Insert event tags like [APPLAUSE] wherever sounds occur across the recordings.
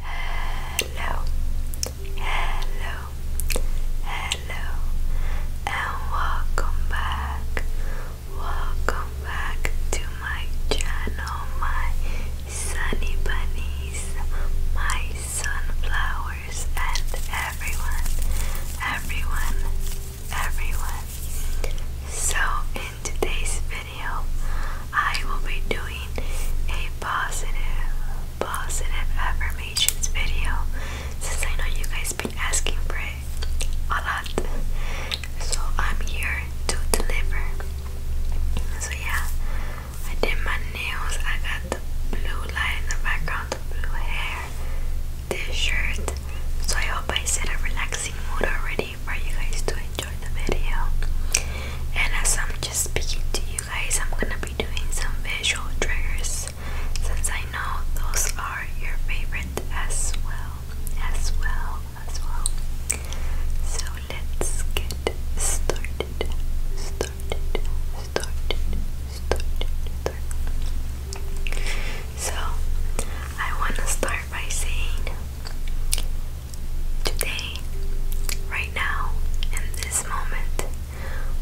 Hello, hello, hello, and welcome back. Welcome back to my channel, my sunny my sunflowers, and everyone, everyone, everyone. So, in today's video, I will be doing a positive, positive affirmations video since I know you guys been asking for it a lot. So I'm here to deliver. So yeah, I did my nails. I got blue light in the background, blue hair, this shirt. So I hope I set a relaxing mood already for you guys to enjoy the video. And as I'm just speaking to you guys, I'm gonna be doing some visual triggers since I know those are your favorite as well, as well, as well. So let's get started. Started, started, started, started. So I wanna start by saying Today, right now, in this moment,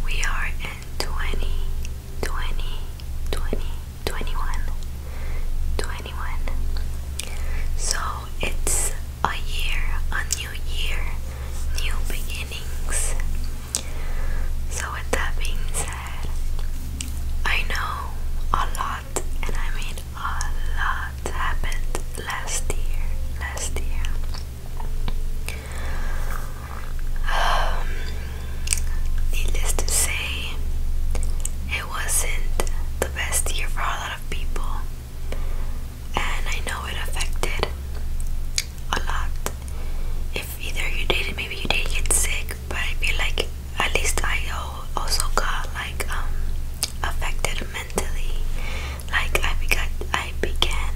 we are in 20, So it's a year, a new year, new beginnings. So, with that being said, I know a lot and I mean a lot, happened last year. Last year. Um, needless to say, it wasn't the best year for a lot of people, and I know it affected a lot. If either you did it, maybe you did get sick, but I feel like at least I also got like um affected mentally. Like I began, I began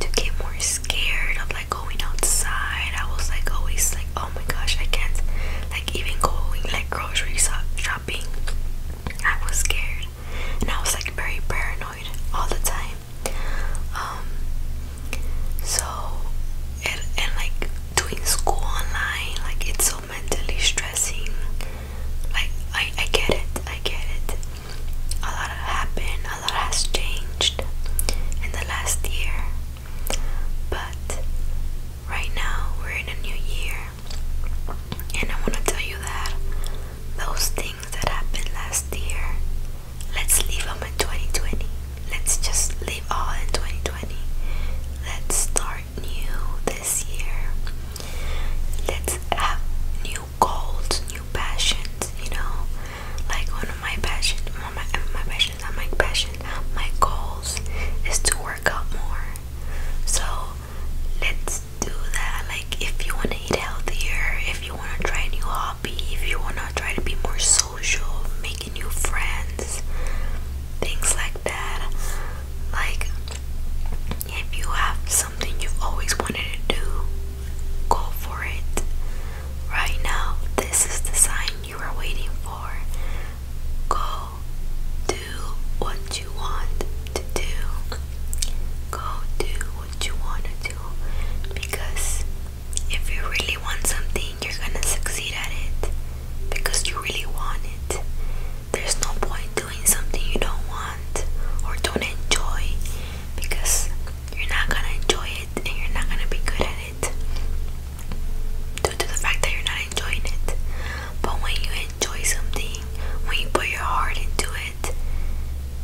to get more scared of like going outside. I was like always like, oh my gosh, I can't like even going like grocery shopping. I was scared, and I was like very paranoid all the time. Um, so and, and like doing school online, like it's so mentally stressing like I, get it, I get it. A lot happened, a lot has changed in the last year. But right now we're in a new year, and I want to tell you that those things that happened last year, let's leave them in 2020. Let's just leave all in 2020. Let's start are new this year. Let's have new goals, new passions, you know. Like one of my passions, one of my, my passions, not my passion, my goals is to work out more. So let's do that. Like if you wanna eat healthier, if you wanna try a new hobby, if you wanna try to be more social, making new friends, things like that. Like, if you have something you've always wanted to do, go for it. Right now, this is the sign you are waiting for. Go do what you want to do. Go do what you want to do because if you really want something, you're gonna succeed at it because you really want it. There's no point doing something you don't want or don't enjoy because you're not gonna enjoy it and you're not gonna be good at it due to the fact that you're not enjoying it. But when you enjoy something, when you put your heart into it,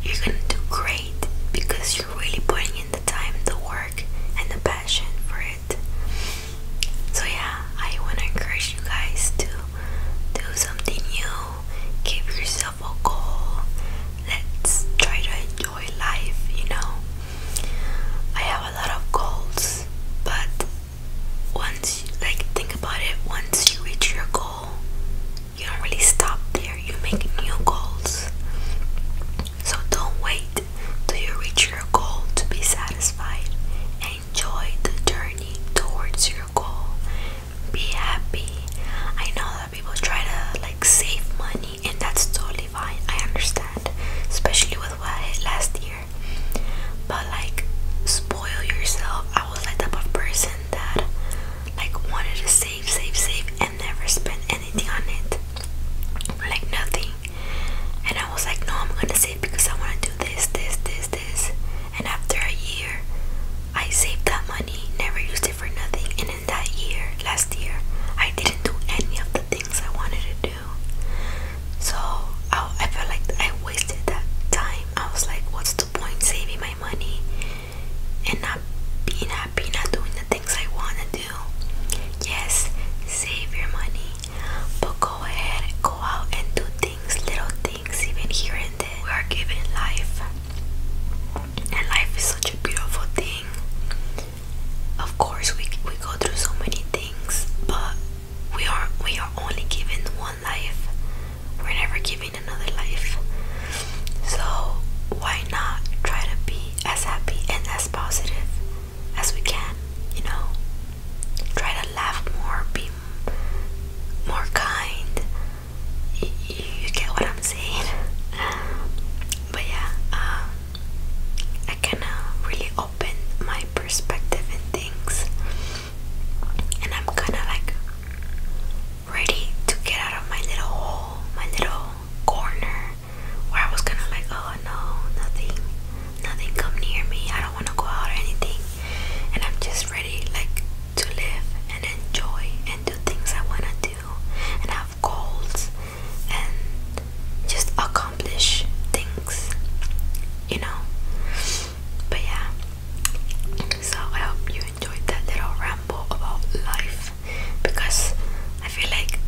you're gonna do great because you're really putting in the time, the work, and the passion for it. So yeah, I wanna encourage you guys to do something new. Give yourself a goal. Let's try to enjoy life, you know. I have a lot of goals, but once like think about it, once you reach your goal, you don't really stop there. You make new goals. So don't wait till you reach your goal to be satisfied enjoy the journey towards your goal. Be happy. I know that people try to like save money, and that's totally fine. I understand, especially with what I hit last year. But like, spoil yourself. I was like type of person that like wanted to save, save, save, and never spend anything on it, like nothing. And I was like, no, I'm gonna save because I wanna do this, this, this, this. And after a year, I saved that money, never used it for nothing. And in that year, last year, I didn't do any of the things I wanted to do. So I, I felt like I wasted that time. I was like, what's the point saving my money and not being happy, not doing the things I wanna do? Yes, save your money. But go ahead, go out and do things, little things, even here and there. We are given life, and life is such a beautiful thing. Of course, we we go through so many things, but we are we are only given one life. We're never given another life. So why not try to be as happy and as positive as we can, you know. Try to laugh more, be more kind. You, get what I'm saying? [LAUGHS] But yeah, um, I kind of really opened my perspective in things, and I'm kind of like ready to get out of my little hole, my little corner where I was kind of like, oh no, nothing, nothing come near me. I don't want to go out or anything, and I'm just ready like to live and enjoy and do things I want to do and have goals and just accomplish things, you know. But yeah, so I hope you enjoyed that little ramble about life because I feel like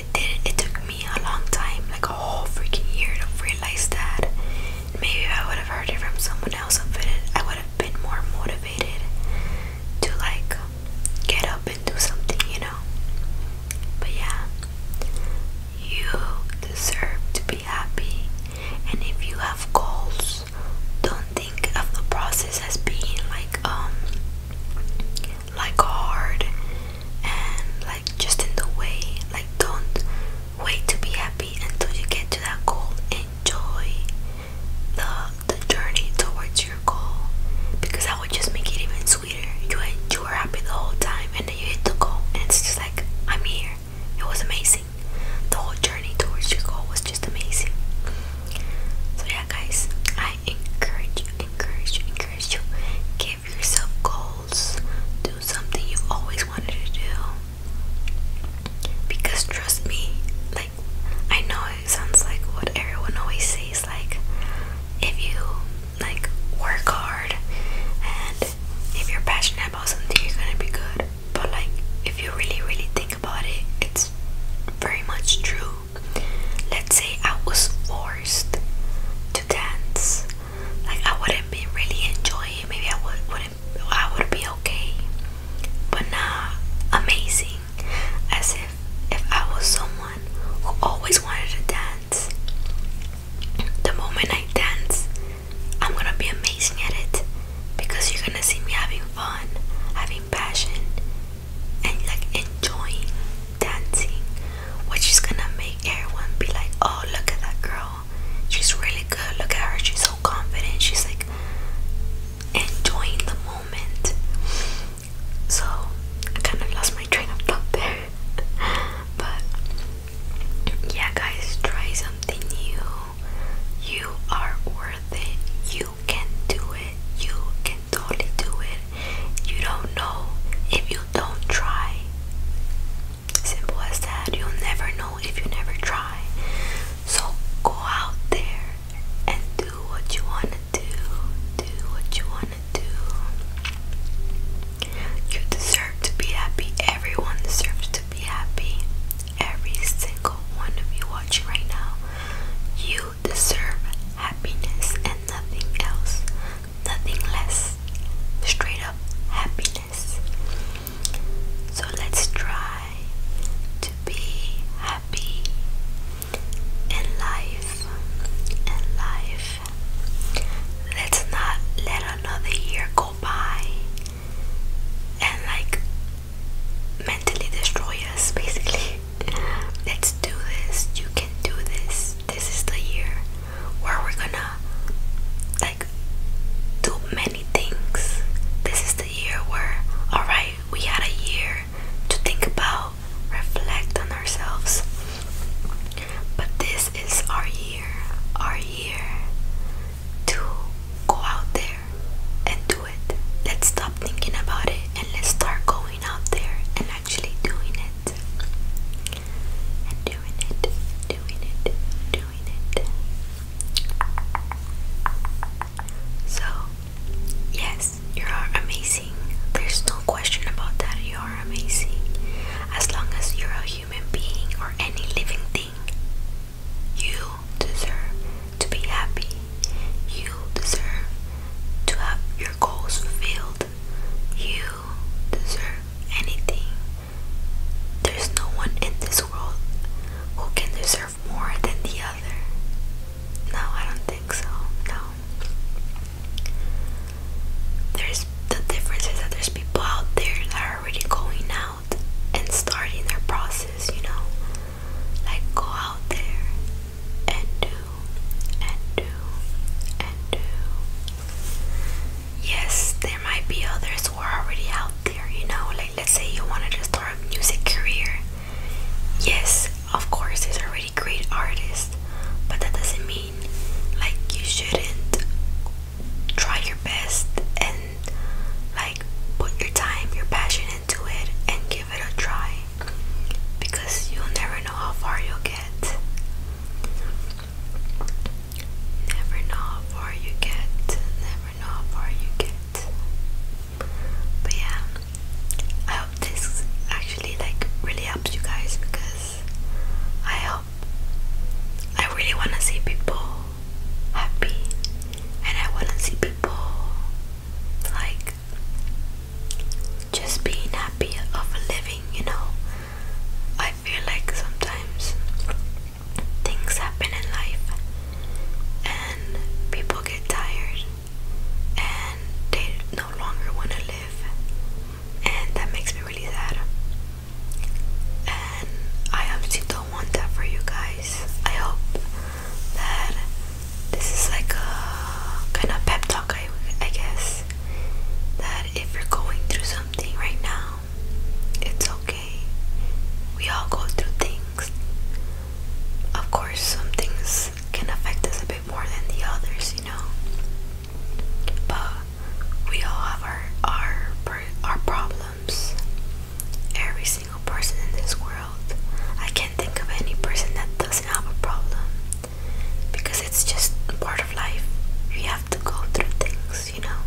it did it took me a long time, like a whole freaking year to realize that. Maybe I would have heard it from someone else I would have been more motivated to like get up and do something, you know. But yeah, you deserve to be happy and if you have goals, don't think of the process as being like um like hard and like just in the way like don't wait to be happy until you get to that goal enjoy the the journey towards your goal because that would just make it even sweeter you, you were happy the whole time and then you hit the goal and it's just like i'm here it was amazing the whole journey towards your goal was just amazing so yeah guys i encourage you encourage you encourage you get give yourself goals. Do something you've always wanted to do. Because trust me, like I know it sounds like what everyone always says, like if you like work hard and if you're passionate about something you're gonna be good. But like if you really really think about it, it's very much true let's say I was forced to dance, like I wouldn't be really enjoying Maybe I would, wouldn't. I would be okay, but not amazing. As if if I was someone who always wanted to dance, the moment I dance, I'm gonna be amazing at it because you're gonna see me having fun, having passion, and like enjoying dancing, which is gonna make everyone be like, oh, look at that girl, she's really good, look at her, she's so confident, she's like enjoying the moment. So I kind of lost my train of thought there, [LAUGHS] but yeah, guys, try something new. You are worth it. You can do it. You can totally do it. You don't know if you don't try. Simple as that. You'll never know if you never try. So go out there and do what you want to do. Do what you want to do. You deserve to be happy. Everyone deserves to be happy. Every single one of you watching right now, you deserve happiness and nothing else, nothing less. Straight up happiness. So let's try to be happy in life. In life. Let's not let another year go by and like mentally destroy us basically. Let's do this. You can do this. This is the year where we're gonna like do many things. This is the year where, alright, we had a year to think about, reflect on ourselves. But this is our year, our year to go out there and do it. Let's stop thinking about it and let's start going out there and actually doing it and doing it, doing it, doing it. So, yes, you are amazing. There's no question about that. You are amazing. As long as you're a human being or any living thing, you deserve to be happy. You deserve to have your goals fulfilled. You deserve anything. There's no one in this world who can deserve more than the other. No, I don't think so. No. There's the difference is that there's people out there that are already going out and starting their process, you know. Like go out there and do and do and do. Yes, there might be others who are already out there, you know, like let's say you wanted to start a music career. Yes, of course there's already great artists, but that doesn't mean like you shouldn't try your best and like put your time, your passion into it and give give it a try because you'll never know how far you'll get. Never know how far you get. Never know how far you get. But yeah, I hope this actually like really helps you guys because I hope I really want to see people happy and I want to see people like just being happy of living, you know. I feel like sometimes things happen in life and people get tired and they no longer want to live, and that makes me really sad. And I obviously don't want that for you guys. I hope that this is like a kind of pep talk, I, I guess. That if you're going through something right now, it's okay. We all go through things. Of course, some things can affect us a bit more than the others, you know. But we all have our our our problems. Every single person in this world. I can't think of any person that doesn't have a problem because it's just part of life. You have to go through things, you know.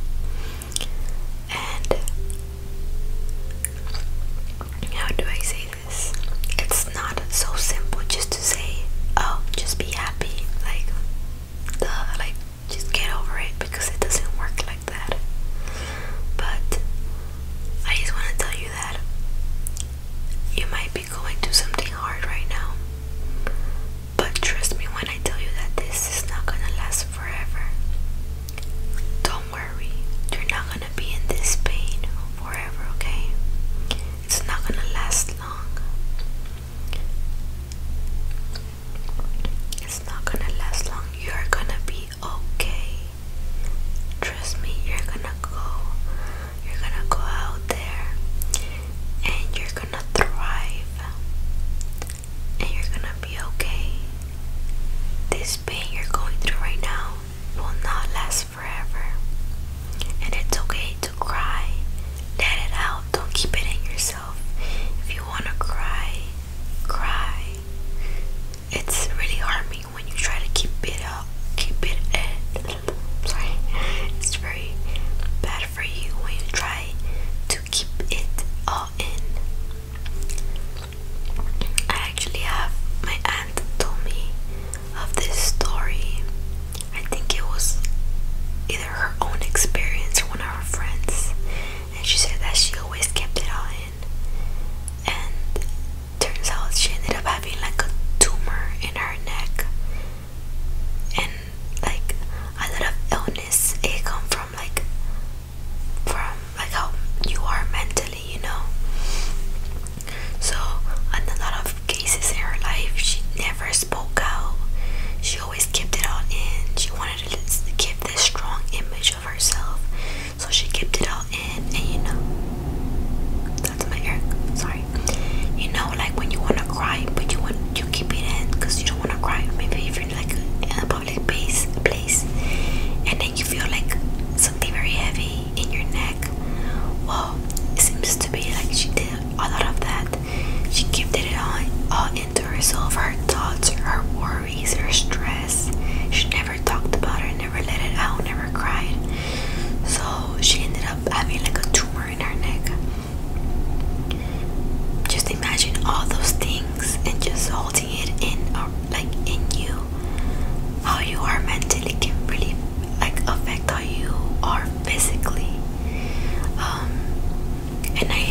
And how do I say this? It's not so simple just to say, "Oh, just be happy." Like, the like just get over it because it doesn't work like that. But I just want to tell you that you might be going through something hard right now. But trust me when I tell you that this is not going to last forever. Don't worry, you're not going to be in this pain forever, okay? It's not going to last long. It's not going to last long. You're going to be okay. Trust me, you're gonna go. You're gonna go out there and you're gonna thrive. And you're gonna be okay. This pain you're going through right now will not last forever. And it's okay to cry. Let it out. Don't keep it in yourself. If you wanna cry, cry. It's really harming when you try to keep it up, keep it at. Sorry, it's very bad for you when you try to keep it all in. I actually have my aunt told me of this story. I think it was either her own experience or one of her friends, and she said that she always kept it all in and turns out she ended up having like a tumor in her neck and like a lot of illness it comes from like from like how you are mentally you know so a lot of cases in her life she never spoke out she always kept it all in she wanted to keep this strong image of herself so she kept it all in, and you know, that's my hair. Sorry, you know, like when you wanna cry, but you want you keep it in because you don't wanna cry. Maybe if you're like in a public place, place, and then you feel like something very heavy in your neck. Well, it seems to be like she did a lot of that. She kept it all, all into herself, her thoughts, her words worries or stress. She never talked about it, never let it out, never cried. So she ended up having like a tumor in her neck. Just imagine all those things and just holding it in or uh, like in you. How you are mentally can really like affect how you are physically. Um, and I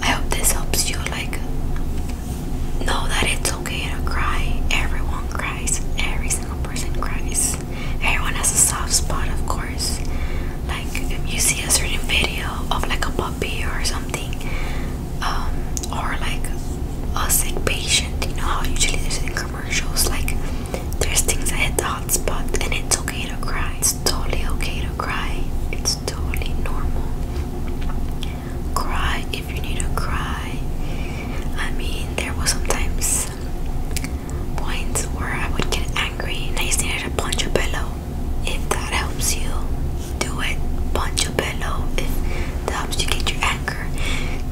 I hope this helps you like know that it's okay to cry. Everyone cries. Every single person cries. Everyone has a soft spot, of course. Like if you see a certain video of like a puppy or something, um, or like a sick patient, you know how usually there's in commercials like there's things that hit the hot spot, and it's okay to cry. It's totally okay to cry. It's totally normal. Cry if you need to cry. I mean, there was sometimes points where I would get angry and I just needed to punch a pillow. If that helps you, do it. Punch a pillow. If that helps you get your anger,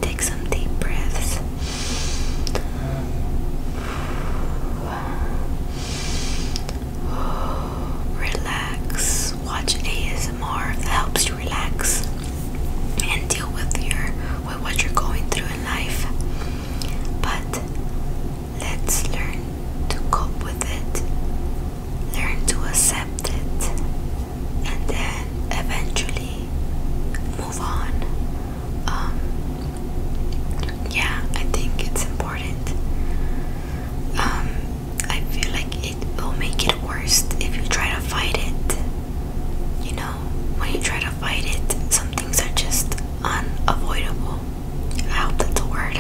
take some deep breaths. [GASPS] relax, watch ASMR that helps you relax and deal with your with what you're going through in life. But let's learn to cope with it, learn to accept it, and then eventually move on. Um, yeah, I think it's important. Um, I feel like it will make it worse if you try to fight it. You know, when you try to fight it, some things are just unavoidable. I hope that's a word.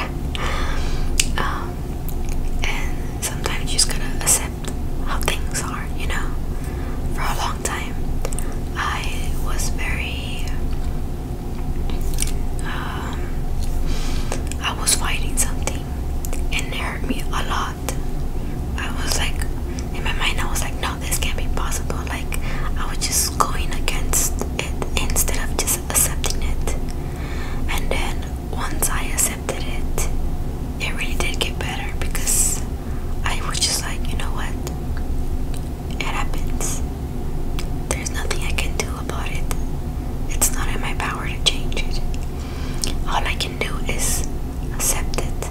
Um, and sometimes you just gotta accept how things are, you know. For a long time, I was very. Uh, I was fighting something and it hurt me a lot. I was like, in my mind, I was like, no, this can't be possible. Like, I was just going against it instead of just accepting it. And then once I accepted it, it really did get better because I was just like, you know what? It happens. There's nothing I can do about it. It's not in my power to change it. All I can do is accept it,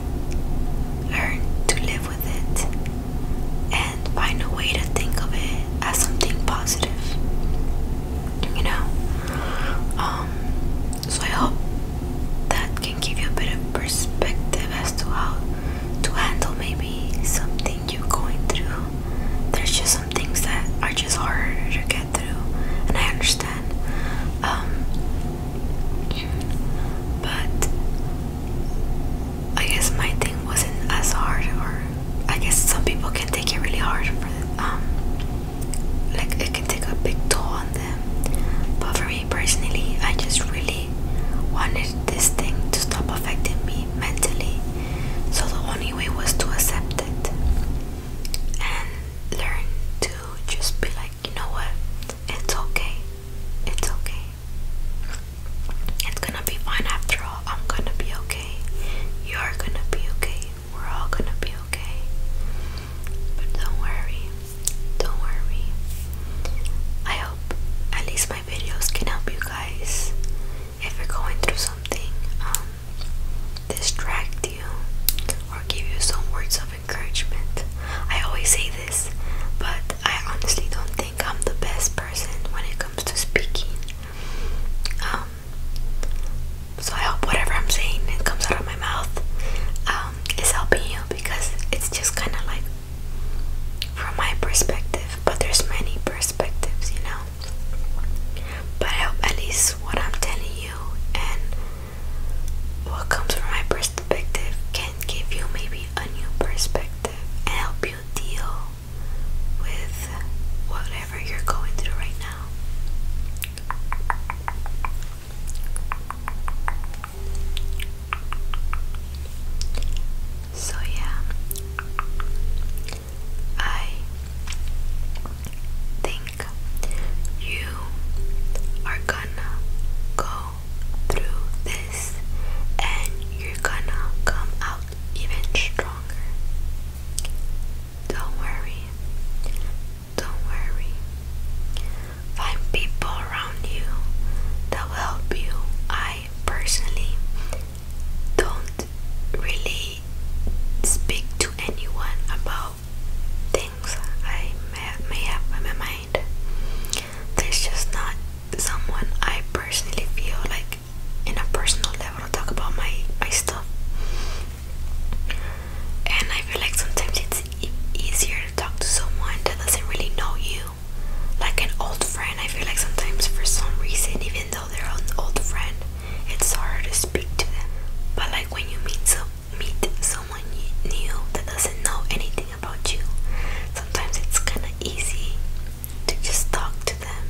learn to live with it, and find a way to think of it as something positive. You know? Um, so I hope that can give you a bit of perspective as to how to handle maybe something you're going through. There's just things that are just harder to get through, and I understand. Um, but I guess my thing wasn't as hard, or I guess some people can take it really hard for them. Um, like it can take a big toll on them. But for me personally, I just really wanted this thing to stop affecting me mentally. So the only only was to accept it and learn to just be like, you know what? It's okay. It's okay. It's gonna be fine after all. I'm gonna be okay. You're gonna be okay. We're all gonna be okay. But don't worry. Don't worry. I hope at least my videos can help you guys if you're going through something, um, distract you or give you some words of encouragement. I always say this, but I honestly don't think I'm the best person when it comes to speaking. Um, so I hope whatever I'm saying that comes out of my mouth um, is helping you because it's just kind of like from my perspective, but there's many perspectives, you know. But I hope at least what I'm telling you and what comes from my perspective can give you maybe a new perspective and help you deal with whatever you're going through right now. So, yeah, I think you are gonna go through this and you're gonna come out even stronger. Don't worry. Don't worry. Find people around you that will help you. I personally don't really speak to anyone about things I may, have in my mind. There's just not someone I personally feel like in a personal level talk about my, my stuff. And I feel like sometimes it's easier to talk to someone that doesn't really know you. Like an old friend, I feel like sometimes for some reason, even though they're an old friend, it's hard to speak to them. But like when you meet so meet someone new that doesn't know anything about you, sometimes it's kind of easy to just talk to them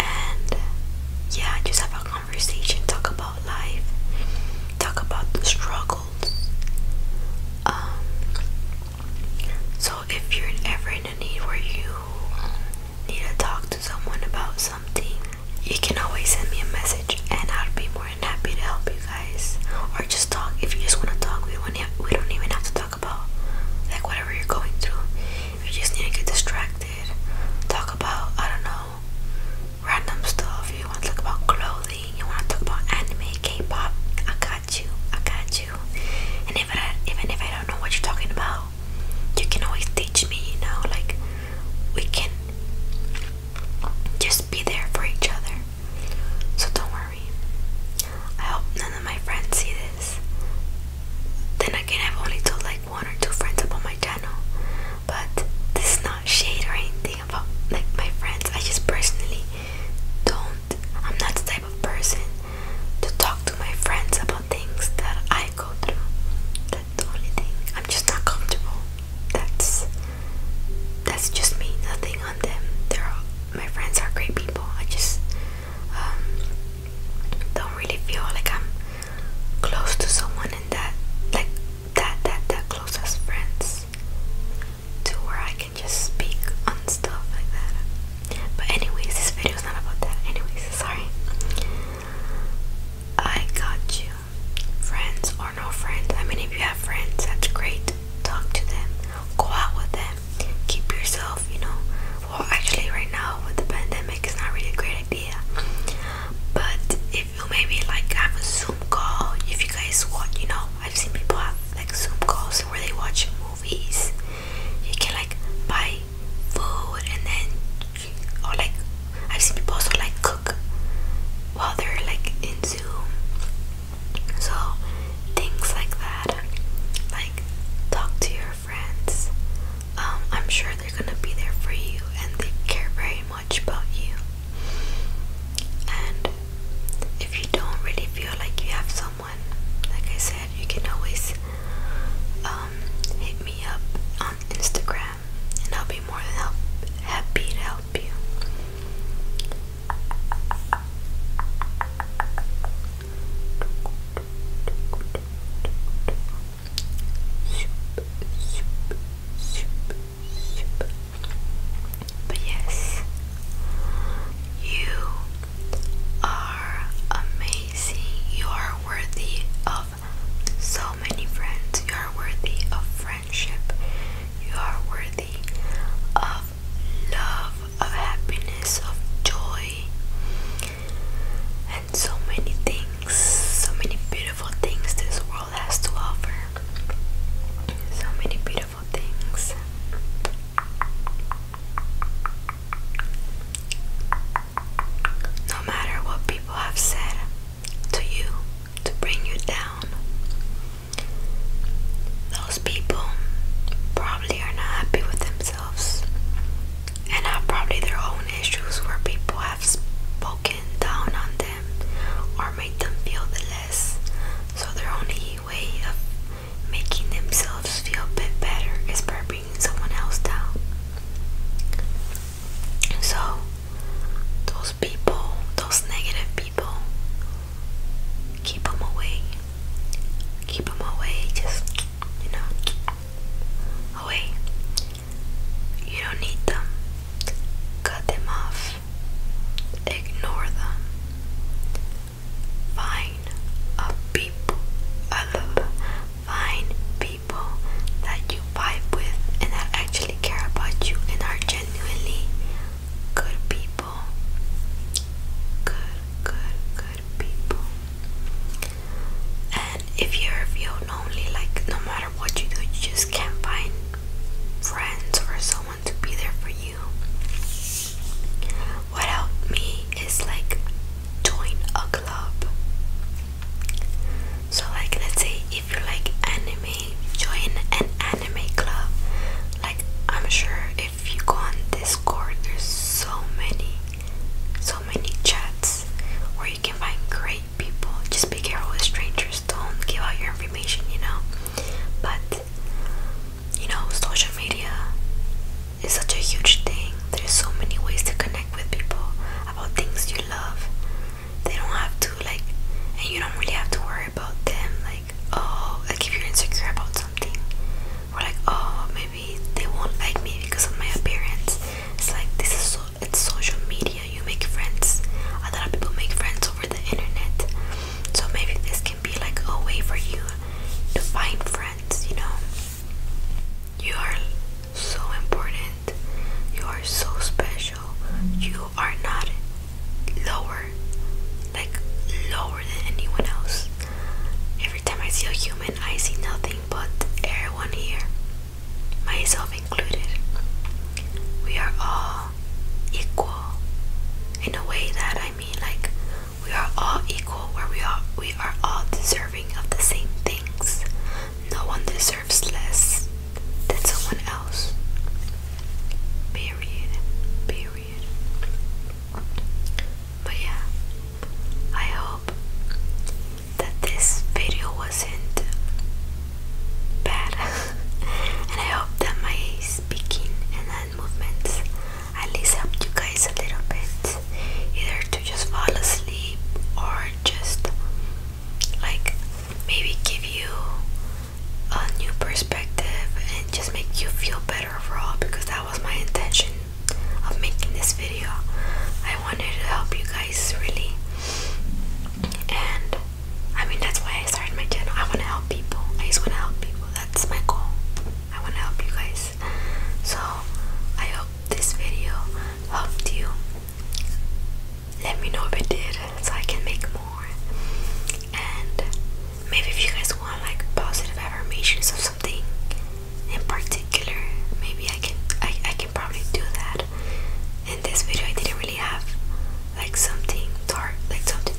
and yeah, just have a conversation, talk about life, talk about the struggles. Um, so if you're ever in a need where you need to talk to someone about something, you can always send me a message and I'll be more than happy to help you guys. Or just talk if you just want to talk. We don't even have to talk about like whatever you're going through. If you just need to get distracted, talk about I don't know random stuff. You want to talk about clothing. You want to talk about anime, K-pop. I got you. I got you. And I, even if I don't know what you're talking about, you can always teach me, you know, like we can just be there for each other. So don't worry. I hope none of my friends see this. Then again, I've only told like one or two friends about my channel, but this is not shade or anything about like my friends. I just personally don't I'm not the type of person to talk to my friends about things that I go through. That's the only thing. I'm just not comfortable. That's that's just me. Nothing on them. They're all, my friends are great people. I just um, don't really feel like I'm close to someone in that like that that that close as friends to where I can can just speak on stuff like that. But anyways, this video is not about that. Anyways, sorry. I got you. Friends or no friends. I mean if you have friends, that's great. Talk to them. Go out with them. Keep yourself, you know. Well actually right now with the pandemic it's not really a great idea. But if you maybe like have a Zoom call, if you guys want, you know, I've seen people have like Zoom calls where they watch a movie movies. You can like buy food and then, or like I've seen people also like cook while they're like in Zoom. So things like that, like talk to your friends. Um, I'm sure they're gonna be there for you and they care very much about you. And if you don't really feel like you have someone like I said, you can always um, hit me up on Instagram, and I'll be more than happy to help you. But yes, you are amazing. You are worthy of so many friends. You are worthy of friendship. You are worthy of love, of happiness, of joy, and so many things, so many beautiful things this world has to offer. So many beautiful things. No matter what people have said to you to bring you down, those people probably are not happy with themselves and have probably their own issues where people have spoken down on them or made them feel less. So their only way of making themselves feel a bit better is by bringing someone else down. So, those people, those negative people, keep them away. Keep them away, just, you know, away. You don't need them. Cut them off. Ignore them find a people, find people that you vibe with and that actually care about you and are genuinely good people. Good, good, good people. And if you feel lonely, like no matter what you do, you just can't find friends or someone to be there for you. What helped me is like join a club. So like let's say if you like anime, join an anime club. Like I'm sure if you go on Discord there's so many so many chats where you can find great people. Just be careful with strangers, don't give out your information, you know. But you know, social media is such a huge thing. There's so many ways to connect with people about things you love. They don't have to like, and you don't really have to worry about them. Like, oh, like if you're insecure about something, we're like, oh, maybe they won't like me because of my appearance. It's like this is so it's social media. You make friends. A lot of people make friends over the internet. So maybe this can be like a way for you to find friends, you know. You are so important. You are so special. You are not lower, like lower than anyone else. Every time I see a human, I see nothing but everyone here, myself included. We are all equal in a way that I mean like we are all equal where we are we are all deserving of the same things. No one deserves less than someone else. Period. Period. But yeah, I hope that this video wasn't bad. [LAUGHS] and I hope that my speaking and hand movements at least help you guys a little bit either to just fall asleep or just like maybe give you a new perspective and just make you feel better overall because that was my intention of making this video. I wanted to help you guys really and I mean, that's why I started my channel. I want to help people. I just want to help people. That's my goal. I want to help you guys. So, I hope this video helped you. Let me know if it did so I can make more. And maybe if you guys want like positive affirmations of something in particular, maybe I can I, I can probably do that. In this video I didn't really have like something dark like something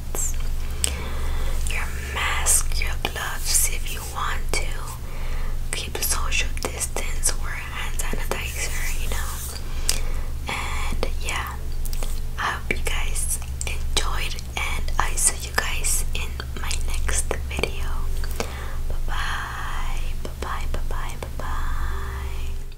your mask, your gloves if you want to. Keep social distance, wear hand sanitizer, you know. And yeah, I hope you guys enjoyed, and I see you guys in my next video. Bye bye, bye bye, bye bye, bye bye.